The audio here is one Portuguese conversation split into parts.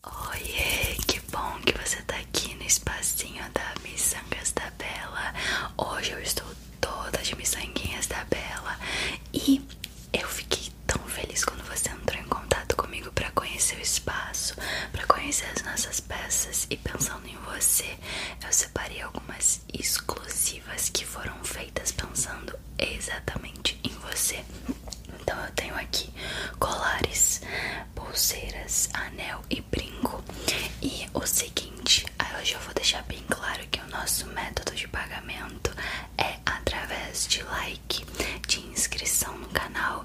Oiê, que bom que você tá aqui no espacinho da Missangas da Bela. Hoje eu estou toda de miçanguinhas da Bela e eu fiquei tão feliz quando você entrou em contato comigo para conhecer o espaço, para conhecer as nossas peças e pensando em você, eu separei algumas exclusivas que foram feitas pensando exatamente em você. Então eu tenho aqui colares, pulseiras, anel e brinco. E o seguinte, hoje eu vou deixar bem claro que o nosso método de pagamento é através de like, de inscrição no canal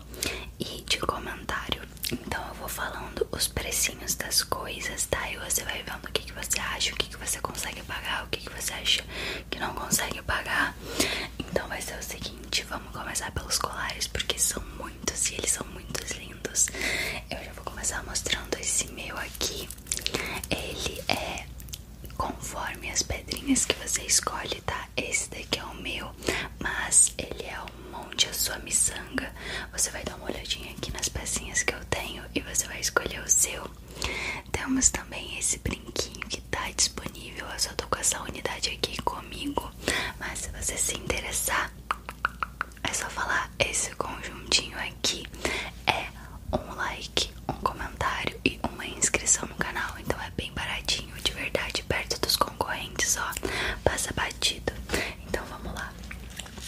e de comentário. Então eu vou falando os precinhos das coisas, tá? E você vai vendo o que, que você acha, o que, que você consegue pagar, o que, que você acha que não consegue pagar. Então vai ser o seguinte, vamos começar pelos colares, porque são muitos e eles são muito lindos. Eu já vou começar mostrando esse meu aqui. Ele é conforme as pedrinhas que você escolhe, tá? Esse daqui é o meu, mas ele é um monte a sua miçanga. Você vai dar uma olhadinha aqui nas pecinhas que eu tenho e você vai escolher o seu. Temos também esse brinquinho que que tá disponível. Eu só tô com essa unidade aqui comigo. Mas se você se interessar, é só falar esse conjuntinho aqui. É um like, um comentário e uma inscrição no canal. Então é bem baratinho, de verdade, perto dos concorrentes, ó. Passa batido. Então vamos lá.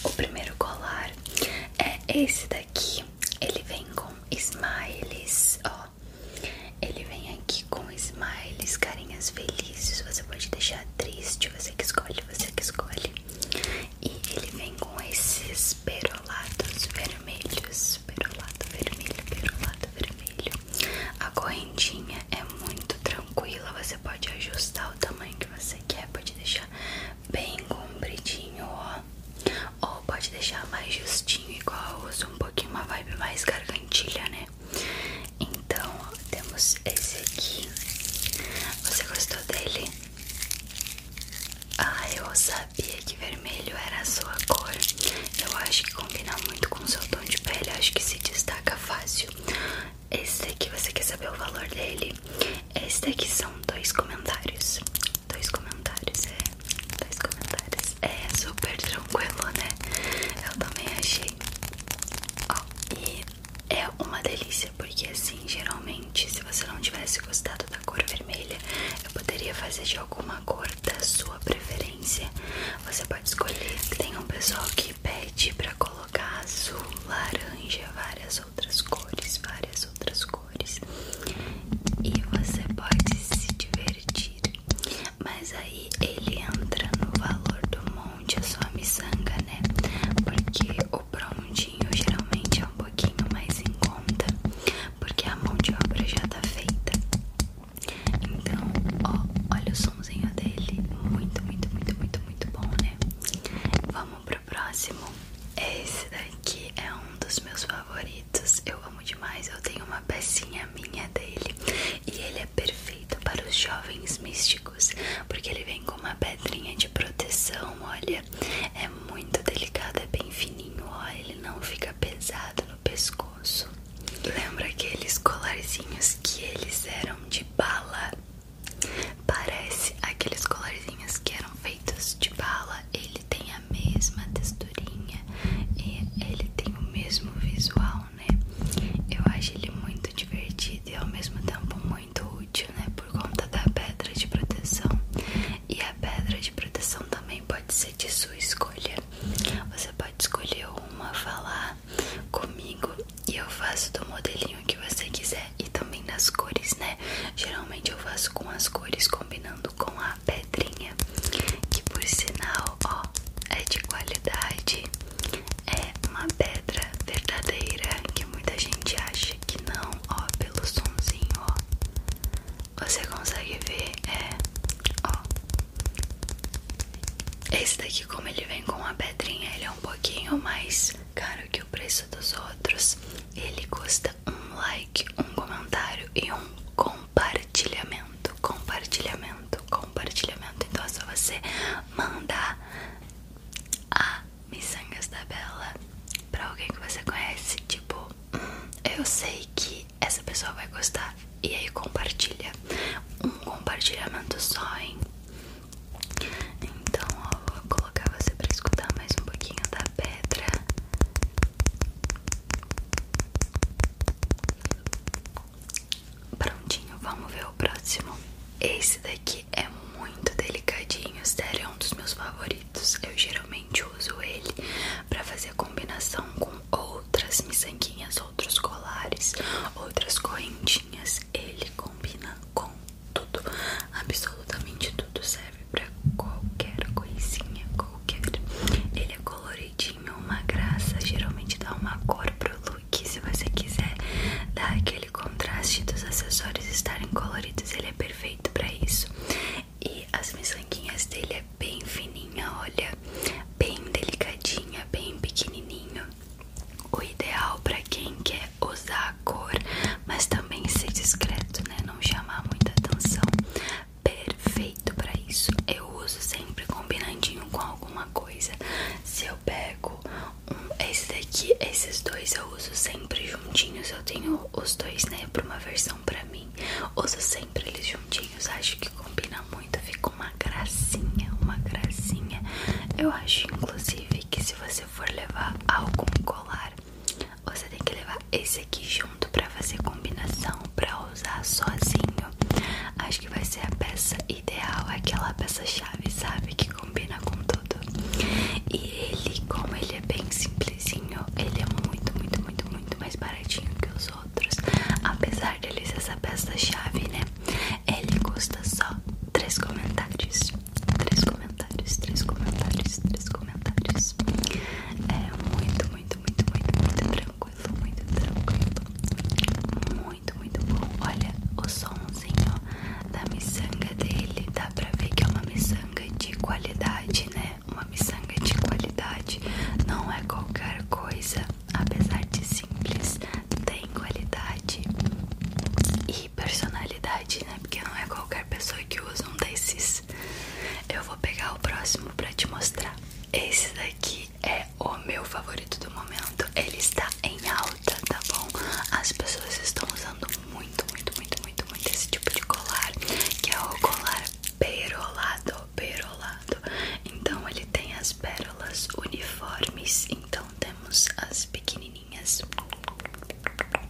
O primeiro colar é esse daqui. Ele vem com smiles, ó. Ele vem aqui com smiles, carinhas felizes. Você pode deixar triste, você que escolhe, você que escolhe. E ele vem com esses perolados vermelhos. Perolado vermelho, perolado vermelho. A correntinha é muito tranquila. Você pode ajustar o tamanho que você quer. Pode deixar bem compridinho, ó. Ou pode deixar mais justinho, igual eu uso um pouquinho uma vibe mais gargantilha, né? Então, temos esse aqui. Você gostou dele? Ah, eu sabia que vermelho era a sua cor. Eu acho que combina muito com o seu tom de pele. Acho que se destaca fácil. Esse aqui você quer saber o valor dele? Esse daqui são dois comentários. Dois comentários, é. Dois comentários é super tranquilo, né? Eu também achei. Ó, e é uma delícia, porque assim, geralmente, se você não tivesse gostado da cor vermelha, eu poderia fazer de alguma cor da sua preferência. Você pode escolher. Tem um pessoal que pede pra colocar azul, laranja, várias outras cores, várias outras cores. E você pode se divertir divertir. Mas aí ele entra no valor do monte, a sua miçanga, né? Porque o prontinho geralmente é um pouquinho mais em conta, porque a mão de obra já tá feita. Então, ó, olha o somzinho dele, muito, muito, muito, muito, muito bom, né? Vamos pro próximo. Esse daqui é um dos meus favoritos. Eu demais. Eu tenho uma pecinha minha dele e ele é perfeito para os jovens místicos, porque ele vem com uma pedrinha de proteção. Olha, é muito delicado, é bem fininho. olha ele não fica pesado no pescoço. Lembra aqueles colarzinhos que eles eram de bala? Parece aqueles colarzinhos que eram feitos de bala. Ele tem a mesma texturinha e ele tem o mesmo visual, né? Eu acho ele muito divertido e ao mesmo tempo muito útil, né? Por conta da pedra de proteção. E a pedra de proteção também pode ser de sua escolha. Você pode escolher uma, falar comigo e eu faço do modelinho que você quiser e também das cores, né? Geralmente eu faço com as cores combinando com a pedra pedrinha, que por sinal, ó, é de qualidade. É uma pedra verdadeira que muita gente acha que não, ó, pelo somzinho ó. Você consegue ver, é, ó. Esse daqui, como ele vem com a pedrinha, ele é um pouquinho mais caro que o preço dos outros. Ele custa um like, um comentário e um compartilhamento. Compartilhamento, compartilhamento. Então é só você mandar a Missangas da Bela pra alguém que você conhece. Tipo, hum, eu sei que essa pessoa vai gostar. E aí compartilha. Um compartilhamento só, hein? Então, ó, vou colocar você pra escutar mais um pouquinho da pedra. Prontinho, vamos ver o próximo. Esse daqui é muito delicadinho, sério, é um dos meus favoritos. Eu geralmente uso ele para fazer combinação com outras miçanguinhas, outros colares, outras correntinhas. Ele combina com tudo, absolutamente tudo, sério serve pra qualquer coisinha, qualquer. Ele é coloridinho, uma graça, geralmente dá uma cor para o look. Se você quiser dar aquele contraste dos acessórios estarem coloridos, ele é perfeito para isso. E as miçanguinhas dele é bem fininha, olha, bem delicadinha, bem pequenininho. O ideal para quem quer usar a cor, mas também ser discreto, né? Não chamar muita atenção perfeito pra isso. Eu uso sempre combinandinho com alguma coisa. Se eu pego esse daqui, esses dois eu uso sempre juntinhos. Eu tenho os dois, né, pra uma versão pra mim. Uso sempre eles juntinhos. Acho que combina muito. Fica uma gracinha, uma gracinha. Eu acho, inclusive, que se você for levar algum colar você tem que levar esse aqui junto pra fazer combinação, pra usar sozinho. Acho que vai ser a peça ideal, aquela peça chave, sabe? Que combina com tudo. E ele, como ele é bem simplesinho, ele é muito, muito, muito, muito mais baratinho que os outros. Apesar dele ser essa peça chave, né? Ele custa só três comentários. Três comentários, três comentários, três comentários. É muito, muito, muito, muito, muito tranquilo, muito tranquilo. Muito, muito bom. Olha o somzinho da miçanga dele. Dá pra ver que é uma miçanga de qualidade, né? Uma miçanga de qualidade. Não é qualquer coisa, apesar de simples, tem qualidade e personalidade, né? Porque não é qualquer pessoa que usa um desses. Eu vou pegar o próximo pra te mostrar. Esse daqui é o meu favorito do momento. Ele está em alta, tá bom? As pessoas estão usando muito, muito, muito, muito, muito esse tipo de colar, que é o colar perolado, perolado. Então ele tem as pérolas uniformes. Então temos as pequenininhas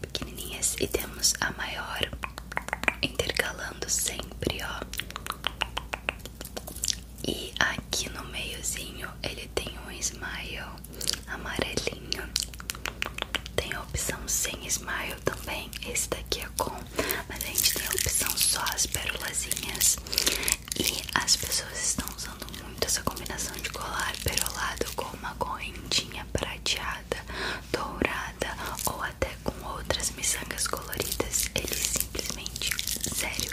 pequenininhas e temos a maior intercalando sempre, ó. E aqui no meiozinho ele tem um smile amarelinho. Tem a opção sem smile também. Esse daqui é com, mas a gente tem a opção só as perolazinhas. E as pessoas estão usando muito essa combinação de colar perolado com uma correntinha prateada dourada ou até com outras miçangas coloridas. Ele simplesmente, sério,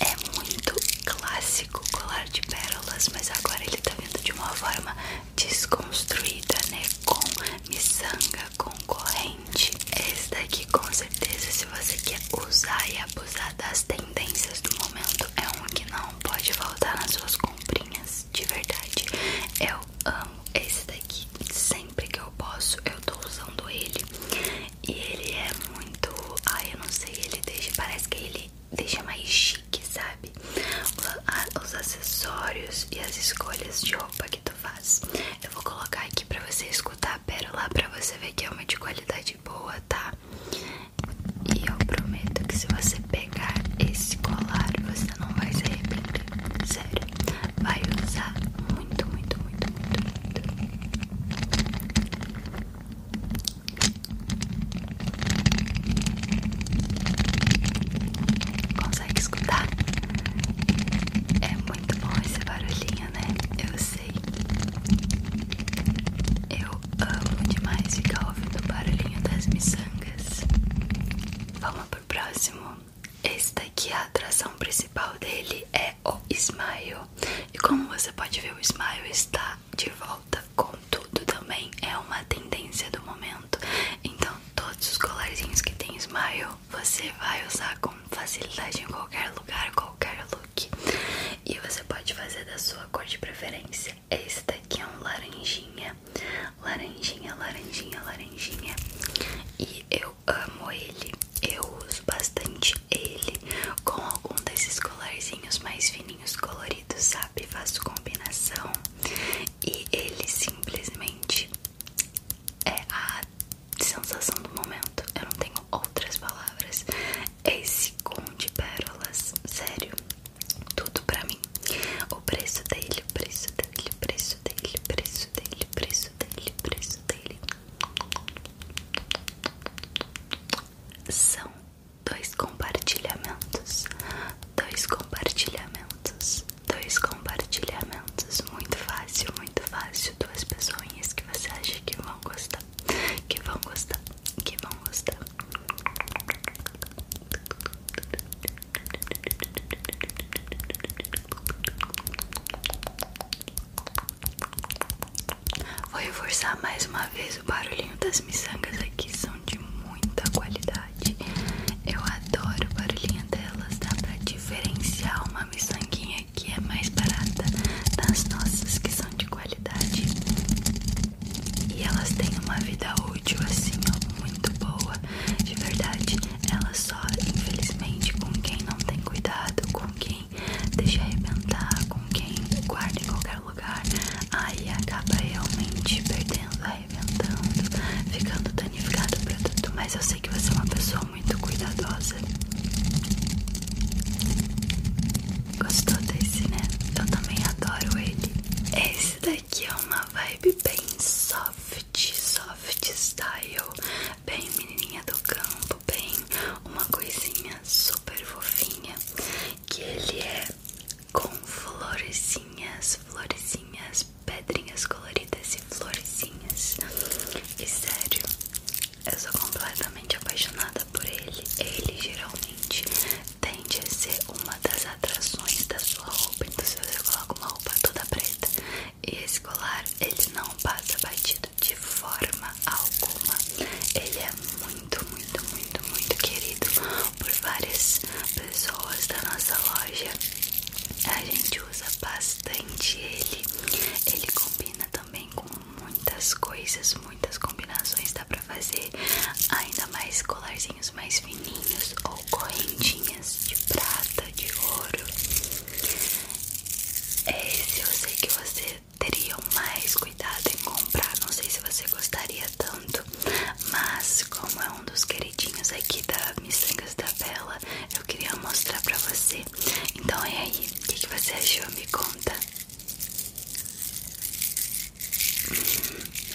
é muito clássico colar de pérolas, mas agora ele tá vindo de uma forma desconstruída, né? Com miçanga, com corrente. Esse daqui, com certeza, se você quer usar e abusar das tendências do momento, é um que não pode faltar nas suas comprinhas de verdade. Eu amo esse daqui. Sempre que eu posso, eu tô usando ele. E ele é muito. ah eu não sei, ele deixa. Parece que ele deixa mais chique, sabe? Os acessórios e as escolhas de roupa que tu faz. Eu vou colocar aqui pra você escutar a pérola, pra você ver que é uma de qualidade boa, tá? E eu prometo que se você pegar esse colar, você não vai se arrepender. Sério, vai usar muito, muito, muito, muito, muito. Consegue escutar? É muito bom esse barulhinho, né? Eu sei. Eu amo demais ficar ouvindo o barulhinho das miçangas. Vamos pro próximo. Esse daqui, a atração principal dele é o Smile. E como você pode ver, o Smile está de volta com tudo também. É uma tendência do momento. Então, todos os colarzinhos que tem Smile, você vai usar com facilidade em qualquer lugar, qualquer look. E você pode fazer da sua cor de preferência. É esse daqui é um laranjinha, laranjinha, laranjinha, laranjinha. E eu amo ele. Eu uso bastante ele com algum desses colarzinhos mais fininhos coloridos, sabe? Faço combinação. E ele simplesmente é a sensação do momento. Eu não tenho outras palavras. Esse com de pérolas, sério tudo pra mim. O preço dele, o preço dele, o preço dele, o preço dele, o preço dele, o preço dele. São dois compartilhamentos, dois compartilhamentos, dois compartilhamentos. Muito fácil, muito fácil. Duas pessoas que você acha que vão gostar, que vão gostar, que vão gostar. Vou reforçar mais uma vez o barulhinho das miçangas aqui são de muita qualidade. Eu adoro o barulhinho delas, dá pra diferenciar uma miçanguinha que é mais barata das nossas que são de qualidade. E elas têm uma vida útil assim, ó, muito boa. De verdade, elas só, infelizmente, com quem não tem cuidado, com quem deixa arrebentar, com quem guarda em qualquer lugar, aí acaba realmente perdendo, arrebentando, ficando danificada. o produto. Mas eu sei que você é uma pessoa muito cuidadosa. Gostou desse, né? Eu também adoro ele. Esse daqui é uma vibe bem soft, soft style, bem menininha do campo, bem uma coisinha super fofinha. Que ele é com florezinhas, florezinhas, pedrinhas coloridas e florezinhas. E sério, eu sou completamente apaixonada por ele. Ele gerou tende a ser uma das atrações da sua roupa. Então, se você coloca uma roupa toda preta e esse colar, ele não passa batido de forma alguma. Ele é muito, muito, muito, muito querido por várias pessoas da nossa loja. A gente usa bastante ele. Ele combina também com muitas coisas, muitas combinações da fazer ainda mais colarzinhos mais fininhos ou correntinhas de prata, de ouro. Esse eu sei que você teria mais cuidado em comprar, não sei se você gostaria tanto, mas como é um dos queridinhos aqui da Missangas da Bela, eu queria mostrar pra você. Então é aí, o que, que você achou? Me conta.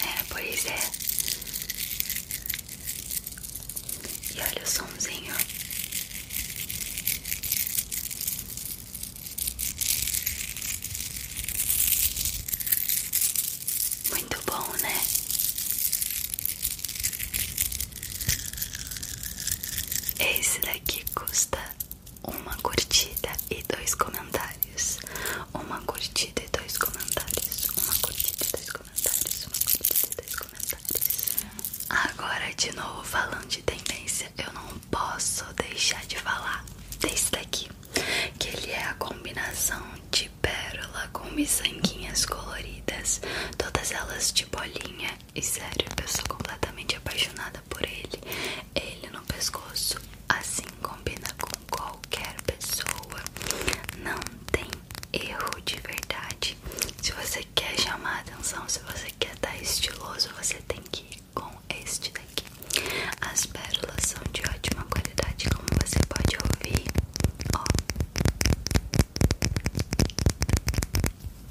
É, pois é. E olha o somzinho. Muito bom, né? Esse daqui custa uma curtida e dois comentários. Uma curtida e dois comentários. Uma curtida e dois comentários. Uma curtida e dois comentários. Agora, de novo, falando de tendência, eu não posso deixar de falar desse daqui. Que ele é a combinação de pérola com miçanguinhas coloridas. Todas elas de bolinha. E sério, eu sou completamente apaixonada por ele. Ele no pescoço, assim combina com qualquer pessoa. Não tem erro de verdade. Se você quer chamar atenção, se você quer estar estiloso, você tem que ir com este daqui. As pérolas são de ótima qualidade, como você pode ouvir. Ó.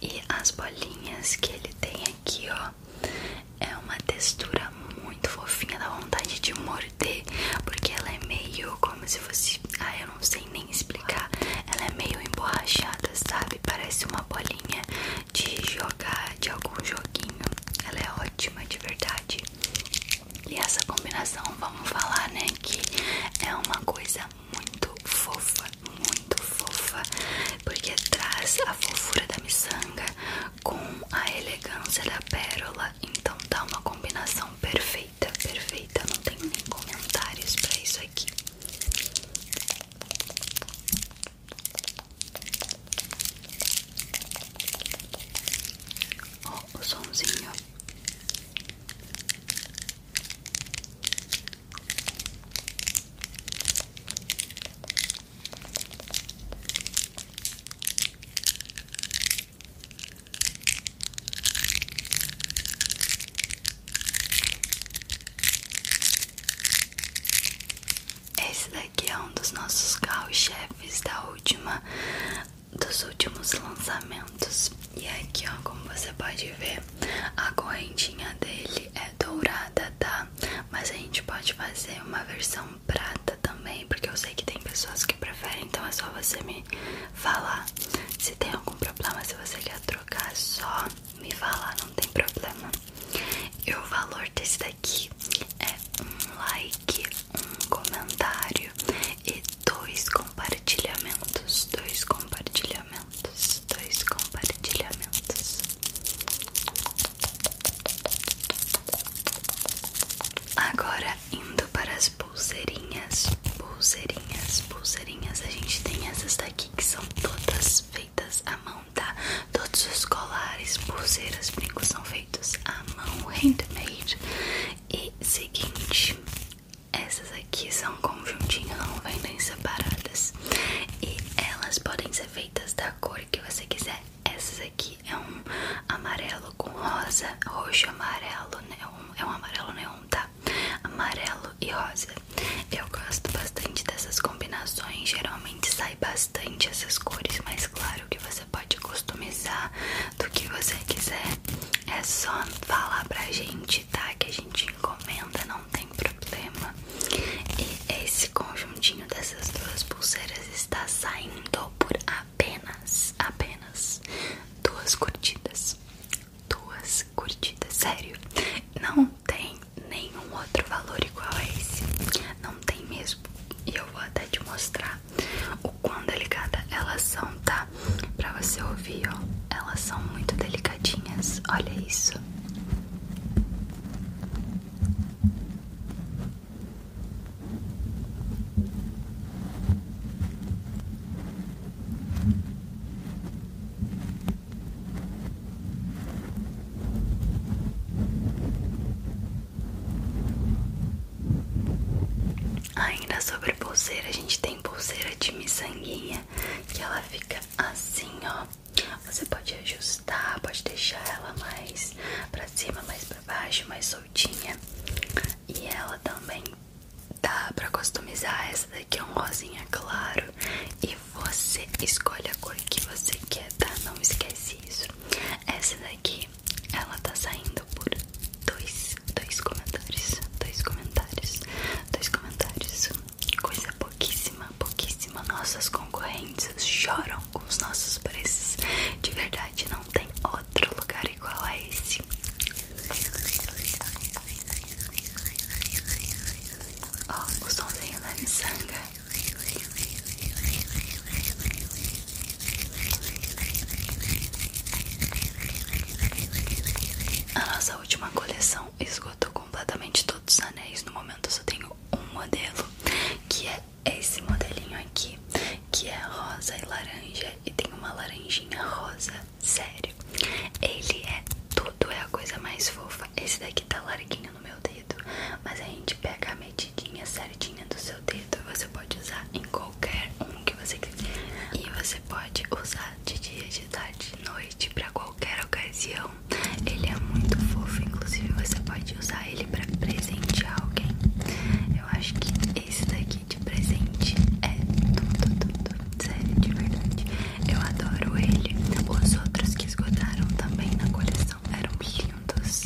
E as bolinhas que ele tem aqui, ó, é uma textura muito fofinha, dá vontade de morder, porque ela é meio como se fosse. Ah, eu não sei nem explicar. Ela é meio emborrachada, sabe? Parece uma bolinha de jogar de algum joguinho. Ela é ótima de verdade. E essa combinação, vamos falar, né? Que é uma coisa muito fofa, muito fofa porque traz a fofura da miçanga com a elegância da pérola, então dá uma combinação perfeita, perfeita, não tem nem comentários para isso aqui. Ó, o somzinho. Esse daqui é um dos nossos carro-chefes da última dos últimos lançamentos. E aqui, ó, como você pode ver, a correntinha dele é é dourada, tá? Mas a gente pode fazer uma versão prata também, porque eu sei que tem pessoas que preferem, então é só você me falar. Se tem algum problema, se você quer trocar, é só me falar, não tem problema. E o valor desse daqui é um like, um comentário e dois compartilhamentos, dois compartilhamentos, dois compartilhamentos. Agora indo para as pulseirinhas, pulseirinhas, pulseirinhas. A gente tem essas daqui que são todas feitas à mão, tá? Todos os colares, pulseiras, brincos são feitos à mão, handmade. E seguinte, essas aqui são conjuntinho, não vendem separadas. E elas podem ser feitas da cor que você quiser. Essas aqui é um amarelo com rosa, roxo amarelo, neon, é um amarelo neon, tá? Amarelo e rosa. Eu gosto bastante dessas combinações, geralmente sai bastante essas cores, mas claro que você pode customizar do que você quiser. É só falar pra gente, tá? Que a gente encomenda, não tem problema. E esse conjuntinho dessas duas pulseiras está saindo por apenas, apenas duas curtidas. Duas curtidas, sério. Não tem nenhum outro valor igual a esse. Não tem mesmo. E eu vou até te mostrar o quão delicada elas são, tá? Pra você ouvir, ó. Elas são muito delicadinhas. Olha isso. Ainda sobre pulseira, a gente tem pulseira de miçanguinha que ela fica assim, ó. Você pode ajustar, pode deixar ela mais pra cima, mais pra baixo, mais soltinha. E ela também dá pra customizar. Essa daqui é um rosinha claro. E você escolhe a cor que você quer, tá? Não esquece isso. Essa daqui, ela tá saindo por dois, dois comentários. Dois comentários. Dois comentários coisa pouquíssima, pouquíssima. Nossas concorrentes choram com os nossos preços. De verdade, não tem outro lugar igual a esse. Ó, oh, o somzinho da miçanga. A nossa última coleção não esgotou completamente todos os anéis. No momento eu só tenho um modelo, que é esse modelinho aqui, que é rosa e laranja e tem uma laranjinha rosa. Sério, ele é tudo, é a coisa mais fofa. Esse daqui tá larguinho no meu dedo, mas a gente pega a medidinha certinha do seu dedo. Você pode usar em qualquer um que você quiser. E você pode usar de dia, de tarde, de noite, pra qualquer ocasião. Ele é muito fofo, inclusive você pode usar ele pra presentear alguém. Eu acho que esse daqui de presente é tudo, tudo, sério, de verdade. Eu adoro ele. Os outros que esgotaram também na coleção eram lindos,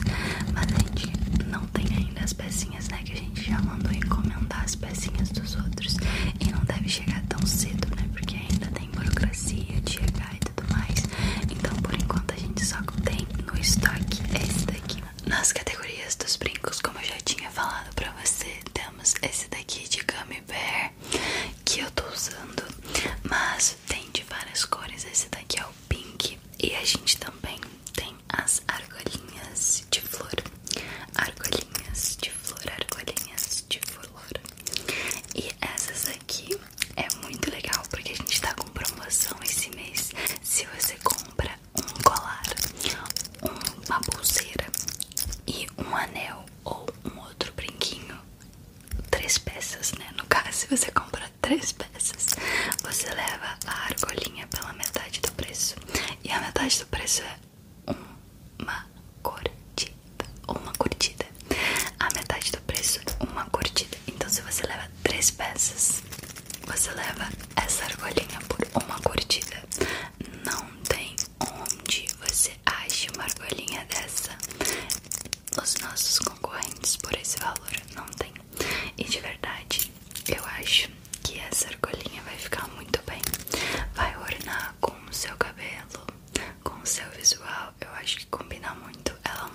mas a gente não tem ainda as pecinhas, né? Que a gente já mandou encomendar as pecinhas dos outros. E não deve chegar tão cedo, né? Porque ainda burocracia de e tudo mais. Então, por enquanto, a gente só tem no estoque esse daqui. Nas categorias dos brincos, como eu já tinha falado pra você, temos esse daqui de Gummy Bear que eu tô usando, mas tem de várias cores. Esse daqui é o pink e a gente também tem as argolinhas de flor, argolinhas de flor, argolinhas de flor. E essas aqui é muito legal porque a gente tá com promoção esse mês. Se você compra um colar, uma pulseira e um anel ou um outro brinquinho, três peças, né? No caso, se você compra três peças, você leva a argolinha pela metade do preço. E a metade do preço é uma curtida, uma curtida, a metade do preço uma curtida. Então, se você leva três peças, você leva essa argolinha por uma curtida. Não tem onde você ache uma argolinha dessa. Os nossos concorrentes por esse valor não tem. E de verdade, eu acho que essa argolinha vai ficar muito bem. Vai ornar com o seu cabelo com o seu visual, eu acho que combina muito. Ela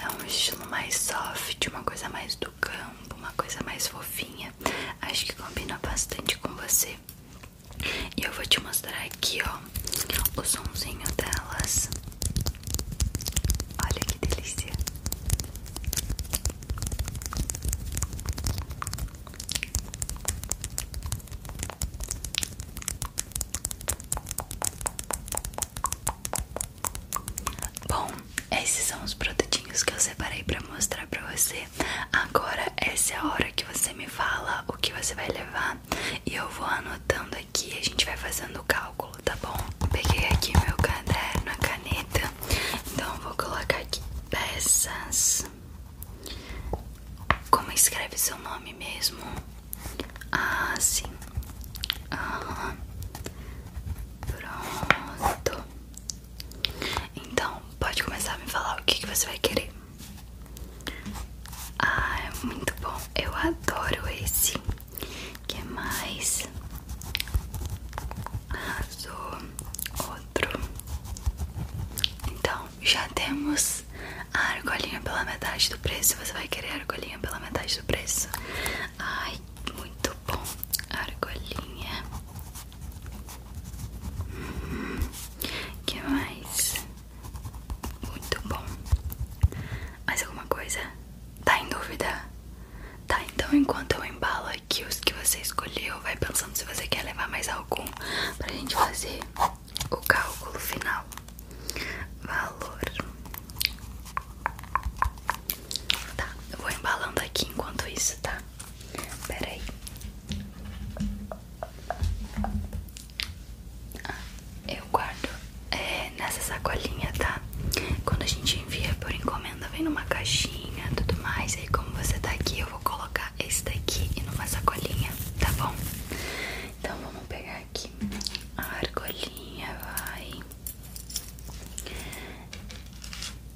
é, é, um estilo mais soft, uma coisa mais do campo, uma coisa mais fofinha. Acho que combina bastante com você. E eu vou te mostrar aqui, ó, o somzinho delas. Olha que delícia. Bom, esses são os produtinhos que eu separei para mostrar para você. Agora essa é a hora que você me fala o que você vai levar e eu vou anotando aqui, a gente vai fazendo o cálculo, tá bom? Peguei aqui meu caderno, a caneta. Então eu vou colocar aqui peças como escreve seu nome mesmo? Ah, sim. Aham. Pronto. Então, pode começar a me falar o que, que você vai querer. Ah, é muito bom. Eu adoro esse. Que mais? Arrasou. Outro. Então, já temos a argolinha pela metade do preço. Você vai querer a argolinha pela metade do preço? Ai, muito bom. Argolinha. Hum, que mais? Muito bom. Mais alguma coisa? Tá em dúvida? Tá, então enquanto eu embalo aqui os que você escolheu vai pensando se você quer levar mais algum pra gente fazer o cálculo final. Valor. Tá, eu vou embalando aqui enquanto isso, tá? Pera aí. Ah, eu guardo é, nessa sacolinha, tá? Quando a gente envia por encomenda, vem numa caixinha tudo mais. Aí, como você tá aqui, eu vou colocar esse daqui e numa sacolinha, tá bom? Então vamos pegar aqui a argolinha, vai.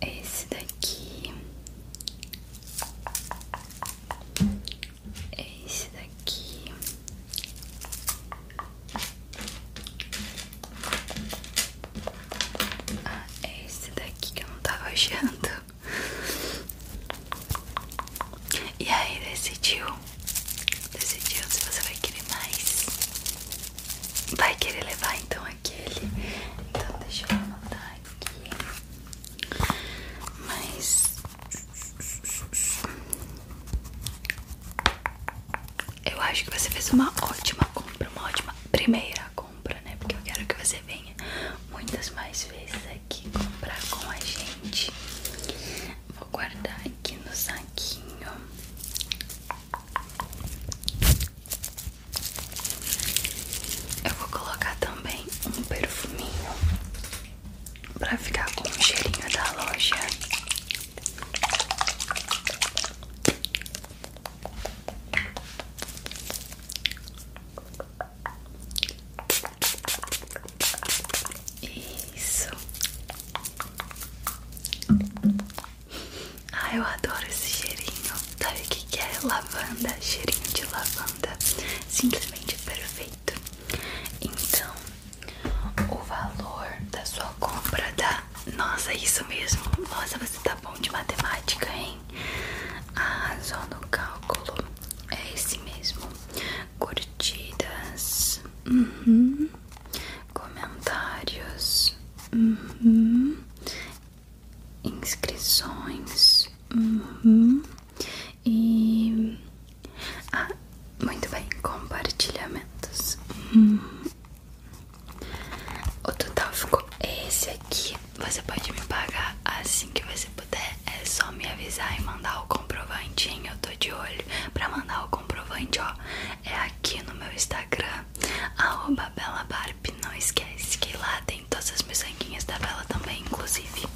Esse daqui. Esse daqui. Ah, esse daqui que eu não tava achando. E aí decidiu Decidiu se você vai querer mais Vai querer levar então aquele Então deixa eu anotar aqui Mas Eu acho que você fez uma ótima compra Uma ótima primeira compra né? Porque eu quero que você venha muitas mais vezes aqui comprar com a gente. Vou guardar aqui no saquinho. Eu vou colocar também um perfuminho para ficar com o cheirinho da loja. Isso. Ah, eu adoro esse cheirinho. Sabe o que é? Lavanda, cheirinho de lavanda. Simplesmente perfeito. Então, o valor da sua compra dá Nossa, isso mesmo. Nossa, você tá bom de matemática, hein? A razão do cálculo é esse mesmo: curtidas, uhum. comentários, uhum. inscrições uhum. e. Ah, muito bem, compartilhamentos. O total ficou esse aqui, você pode me pagar assim que você puder. É só me avisar e mandar o comprovante, hein? Eu tô de olho. Pra mandar o comprovante, ó, é aqui no meu Instagram, arroba belabarp. Não esquece que lá tem todas as minhas miçanguinhas da Bela também, inclusive.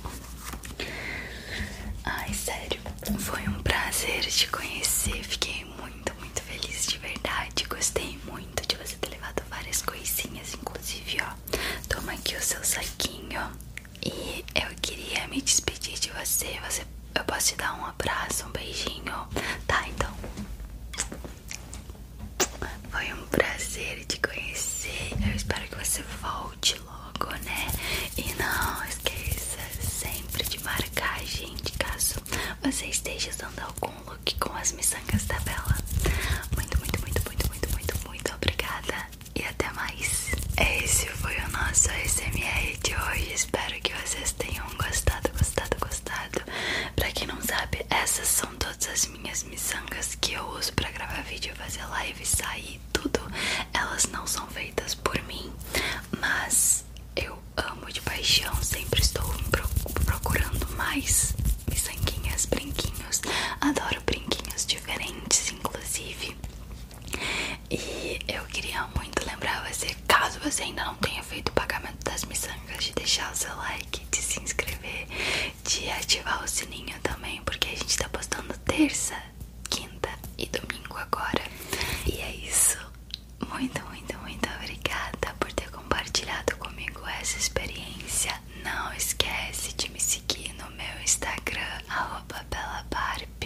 Ai, sério, foi um prazer te conhecer. Fiquei muito, muito feliz de verdade. Gostei muito muito de você ter levado várias coisinhas, inclusive, ó. Toma aqui o seu saquinho. E eu queria me despedir de você. Você eu posso te dar um abraço, um beijinho. Tá, então. Foi um prazer te conhecer. Eu espero que você volte logo, né? E não esqueça sempre de marcar a gente caso você esteja usando algum com o look com as miçangas da Bela. Muito, muito, muito, muito, muito, muito, muito obrigada e até mais. Esse foi o nosso SMR de hoje. Espero que vocês tenham gostado, gostado, gostado. Pra quem não sabe, essas são todas as minhas miçangas que eu uso pra gravar vídeo, fazer live, sair, tudo. Elas não são feitas por mim, mas eu amo de paixão, sempre estou procurando mais miçanguinhas, brinquinhos. Adoro brinquinhos diferentes, inclusive. E eu queria muito lembrar você, caso você ainda não tenha feito o pagamento das miçangas, de deixar o seu like, de se inscrever, de ativar o sininho também, porque a gente tá postando terça, quinta e domingo agora. E é isso. Muito, muito, muito obrigada por ter compartilhado comigo essa experiência. Não esquece de me seguir no meu Instagram, belabarp,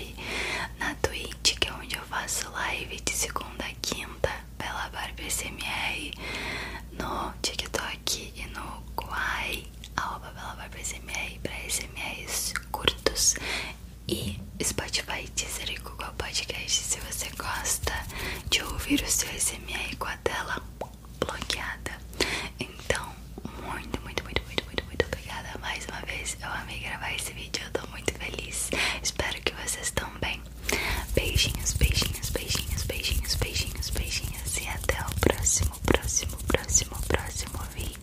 na Twitch, que é onde eu faço live de segunda a quinta, belabarpsmr, no TikTok e no Kwai, belabarpsmr, para SMRs curtos, e Spotify Teaser Google qual podcast se você gosta de ouvir o seu SMR com a tela bloqueada. Então, muito, muito, muito, muito, muito, muito obrigada mais uma vez. Eu amei gravar esse vídeo, eu tô muito feliz. Espero que vocês também. Beijinhos, beijinhos, beijinhos, beijinhos, beijinhos, beijinhos. E até o próximo, próximo, próximo, próximo vídeo.